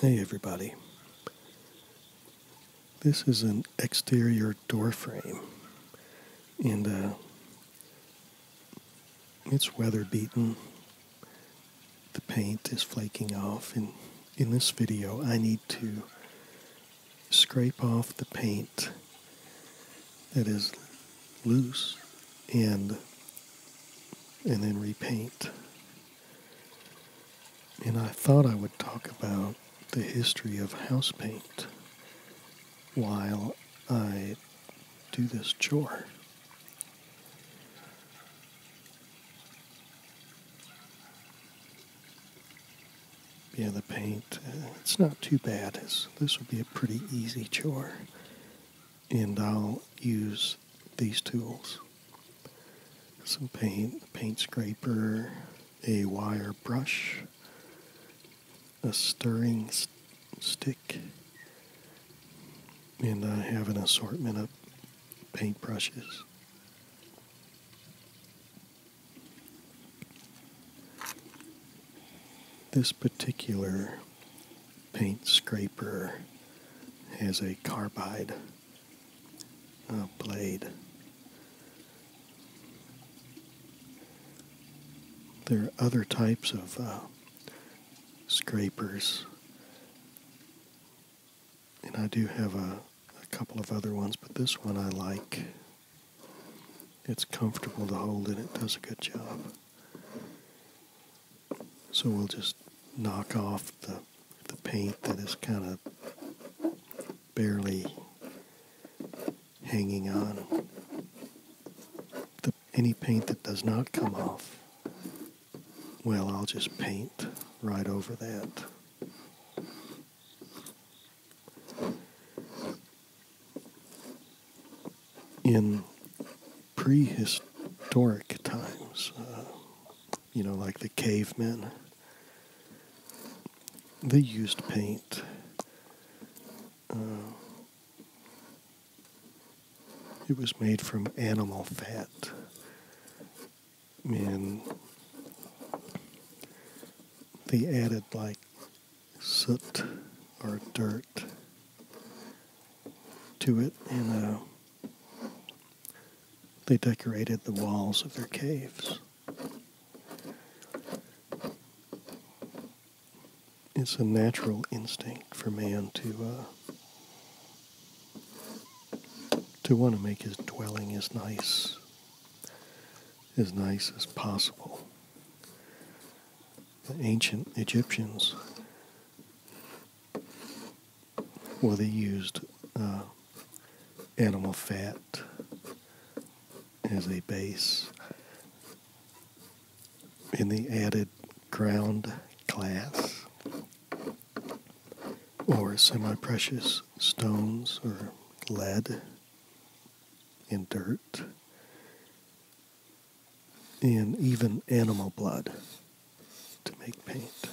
Hey everybody. This is an exterior door frame. And uh, it's weather beaten. The paint is flaking off and in this video I need to scrape off the paint that is loose and and then repaint. And I thought I would talk about the history of house paint while I do this chore. Yeah, the paint, uh, it's not too bad. this will be a pretty easy chore. And I'll use these tools. Some paint, paint scraper, a wire brush, a stirring stick, and I have an assortment of paint brushes. This particular paint scraper has a carbide uh, blade. There are other types of uh, scrapers. And I do have a, couple of other ones, but this one I like. It's comfortable to hold and it does a good job. So we'll just knock off the, the paint that is kind of barely hanging on any paint that does not come off, well, I'll just paint right over that. In prehistoric times, uh, you know, like the cavemen, they used paint. Uh, it was made from animal fat. And they added like soot or dirt to it, and uh, they decorated the walls of their caves it's a natural instinct for man to uh, to want to make his dwelling as nice as nice as possible. The ancient Egyptians, well, they used uh, animal fat as a base in the added ground glass, or semi-precious stones or lead and dirt and even animal blood to make paint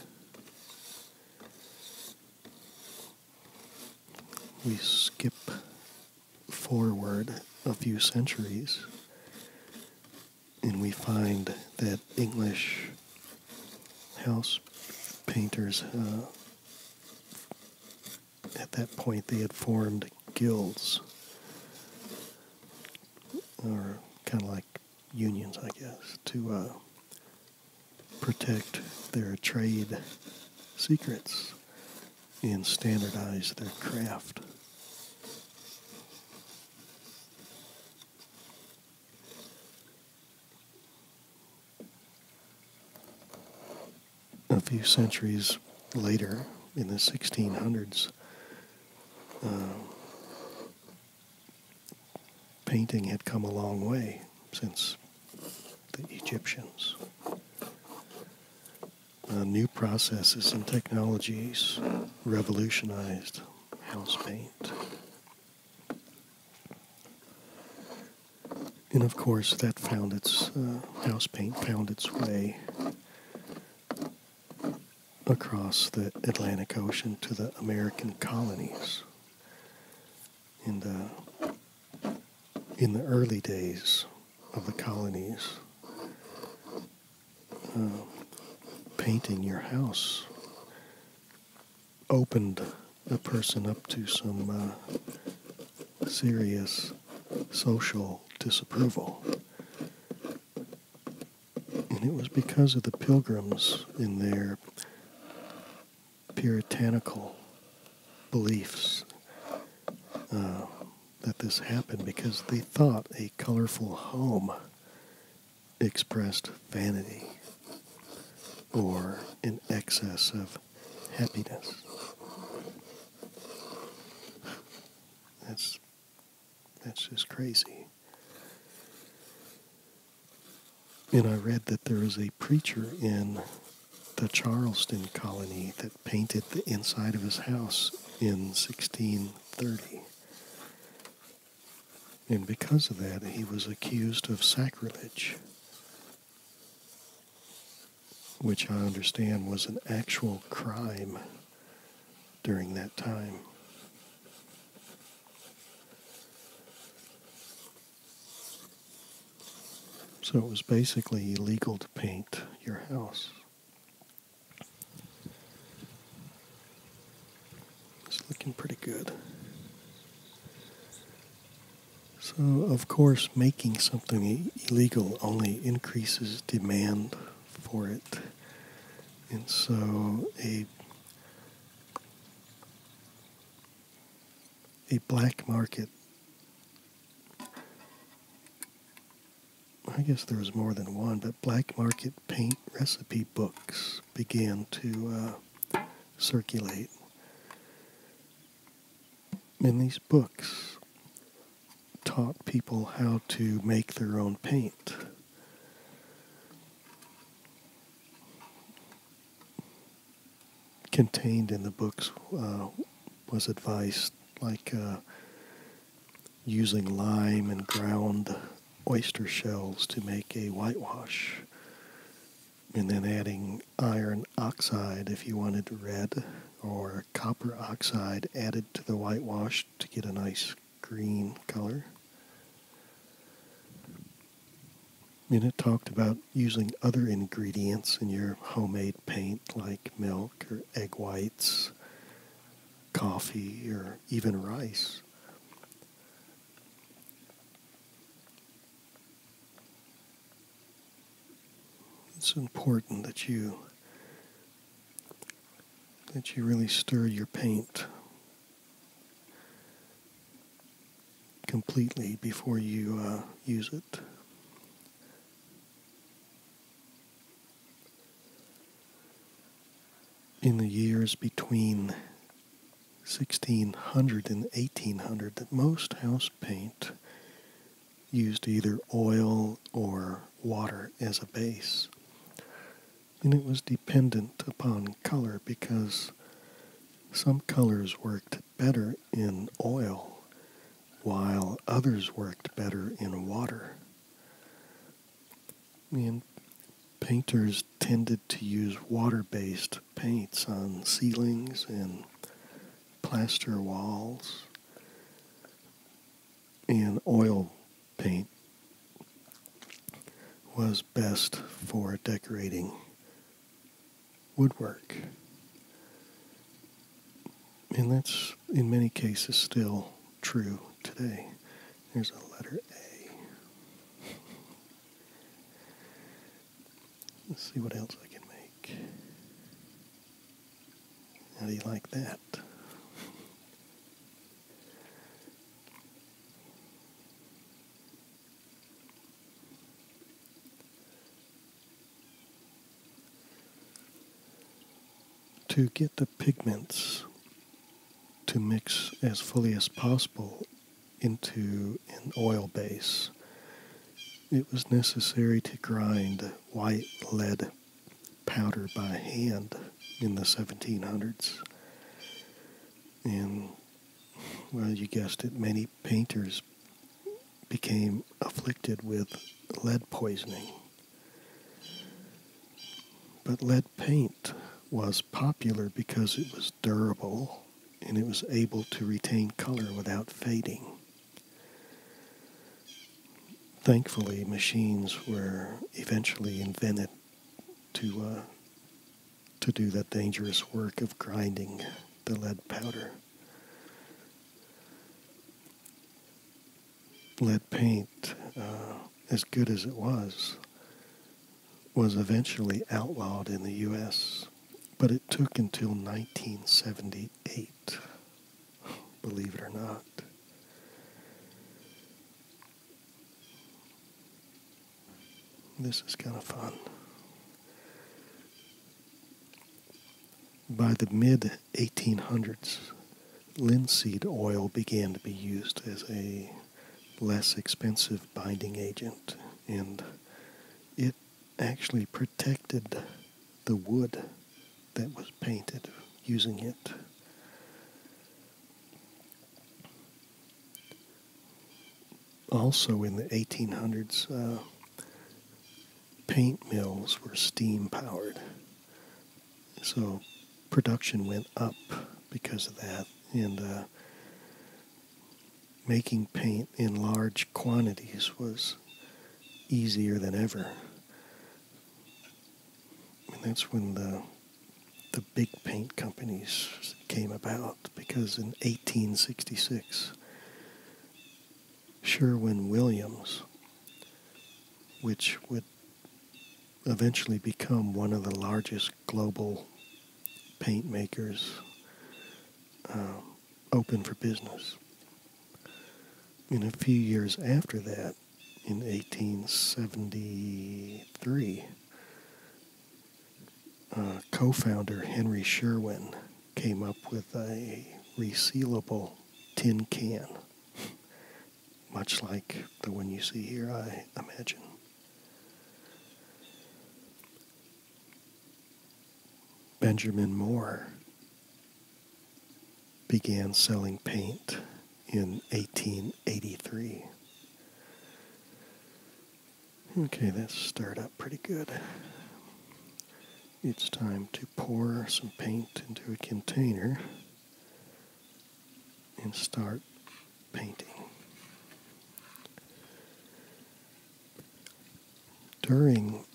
we skip forward a few centuries and we find that English house painters, uh, at that point, they had formed guilds, or kind of like unions, I guess, to uh, protect their trade secrets and standardize their craft. A few centuries later, in the 1600s, uh, painting had come a long way since the Egyptians. Uh, new processes and technologies revolutionized house paint. And of course, that found its uh, house paint found its way across the Atlantic Ocean to the American colonies in the in the early days of the colonies. Uh, painting your house opened a person up to some uh, serious social disapproval. And it was because of the pilgrims in their puritanical beliefs uh, that this happened because they thought a colorful home expressed vanity or an excess of happiness. That's that's just crazy. And I read that there was a preacher in the Charleston colony that painted the inside of his house in 1630. And because of that, he was accused of sacrilege, which I understand was an actual crime during that time. So it was basically illegal to paint your house. It's looking pretty good. So, of course, making something illegal only increases demand for it. And so, a a black market. I guess there was more than one, but black market paint recipe books began to uh, circulate. And these books taught people how to make their own paint contained in the books uh, was advice like uh, using lime and ground oyster shells to make a whitewash, and then adding iron oxide if you wanted red, or copper oxide added to the whitewash to get a nice green color. And it talked about using other ingredients in your homemade paint like milk or egg whites, coffee, or even rice. It's important that you that you really stir your paint completely before you uh, use it. In the years between 1600 and 1800, that most house paint used either oil or water as a base and it was dependent upon color because some colors worked better in oil while others worked better in water. And painters tended to use water based paints on ceilings and plaster walls, and oil paint was best for decorating woodwork. And that's in many cases still true today. There's a letter A. Let's see what else I can make. How do you like that? To get the pigments to mix as fully as possible into an oil base, it was necessary to grind white lead powder by hand in the 1700s. And, well, you guessed it, many painters became afflicted with lead poisoning. But lead paint was popular because it was durable and it was able to retain color without fading. Thankfully, machines were eventually invented to uh, to do that dangerous work of grinding the lead powder. Lead paint, uh, as good as it was, was eventually outlawed in the U.S., but it took until 1978, believe it or not. This is kind of fun. By the mid 1800s, linseed oil began to be used as a less expensive binding agent, and it actually protected the wood that was painted using it. Also in the 1800s, uh, paint mills were steam powered. So production went up because of that. And uh, making paint in large quantities was easier than ever and that's when the the big paint companies came about because in 1866 Sherwin Williams, which would eventually become one of the largest global paint makers, um, opened for business. And a few years after that, in 1873. Uh, co founder Henry Sherwin came up with a resealable tin can, much like the one you see here, I imagine. Benjamin Moore began selling paint in 1883. Okay, that's started up pretty good. It's time to pour some paint into a container and start painting. During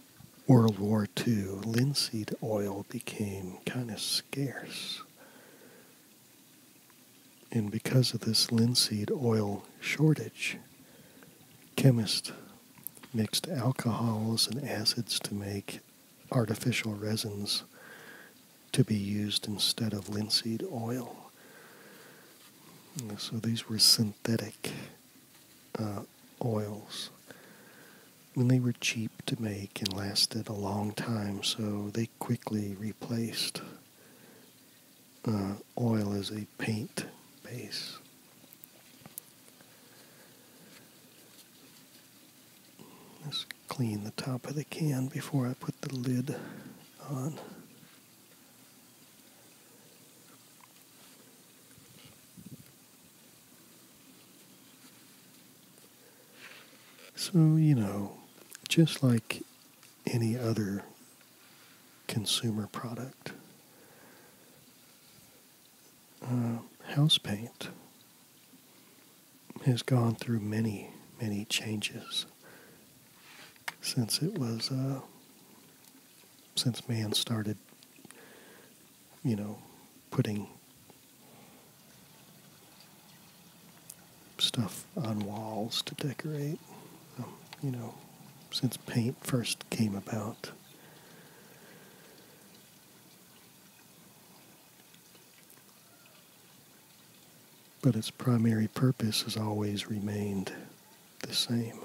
World War II, linseed oil became kind of scarce. And because of this linseed oil shortage, chemists mixed alcohols and acids to make artificial resins to be used instead of linseed oil. So these were synthetic uh, oils and they were cheap to make and lasted a long time, so they quickly replaced uh, oil as a paint base. Let's clean the top of the can before I put the lid on. So, you know, just like any other consumer product, uh, house paint has gone through many, many changes since it was, uh, since man started you know, putting stuff on walls to decorate. Um, you know, since paint first came about. But its primary purpose has always remained the same,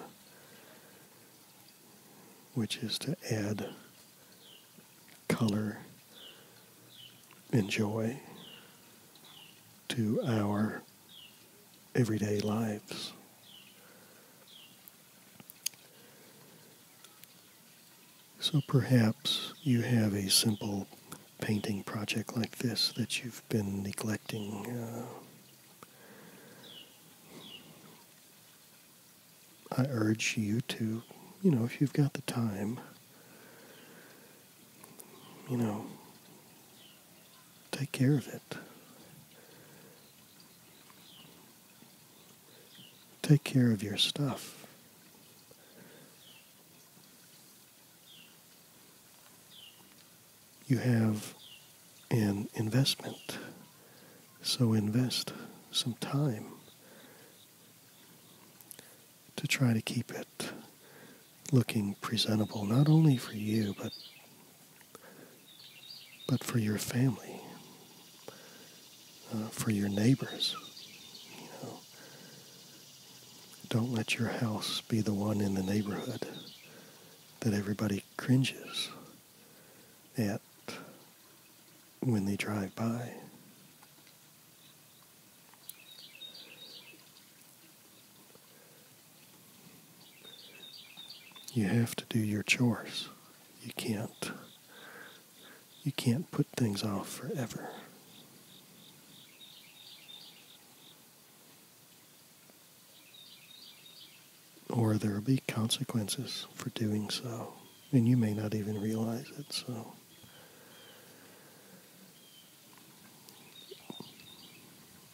which is to add color, and joy to our everyday lives. So perhaps you have a simple painting project like this that you've been neglecting. Uh, I urge you to, you know, if you've got the time, you know, take care of it. Take care of your stuff. You have and investment. So invest some time to try to keep it looking presentable, not only for you, but but for your family, uh, for your neighbors. You know, don't let your house be the one in the neighborhood that everybody cringes at when they drive by. You have to do your chores. You can't you can't put things off forever or there will be consequences for doing so, and you may not even realize it. So,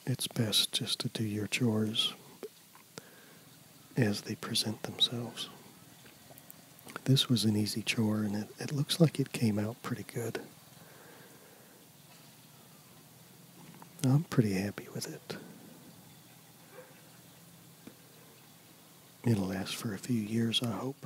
it's best just to do your chores as they present themselves. This was an easy chore, and it, looks like it came out pretty good. I'm pretty happy with it. It'll last for a few years, I hope.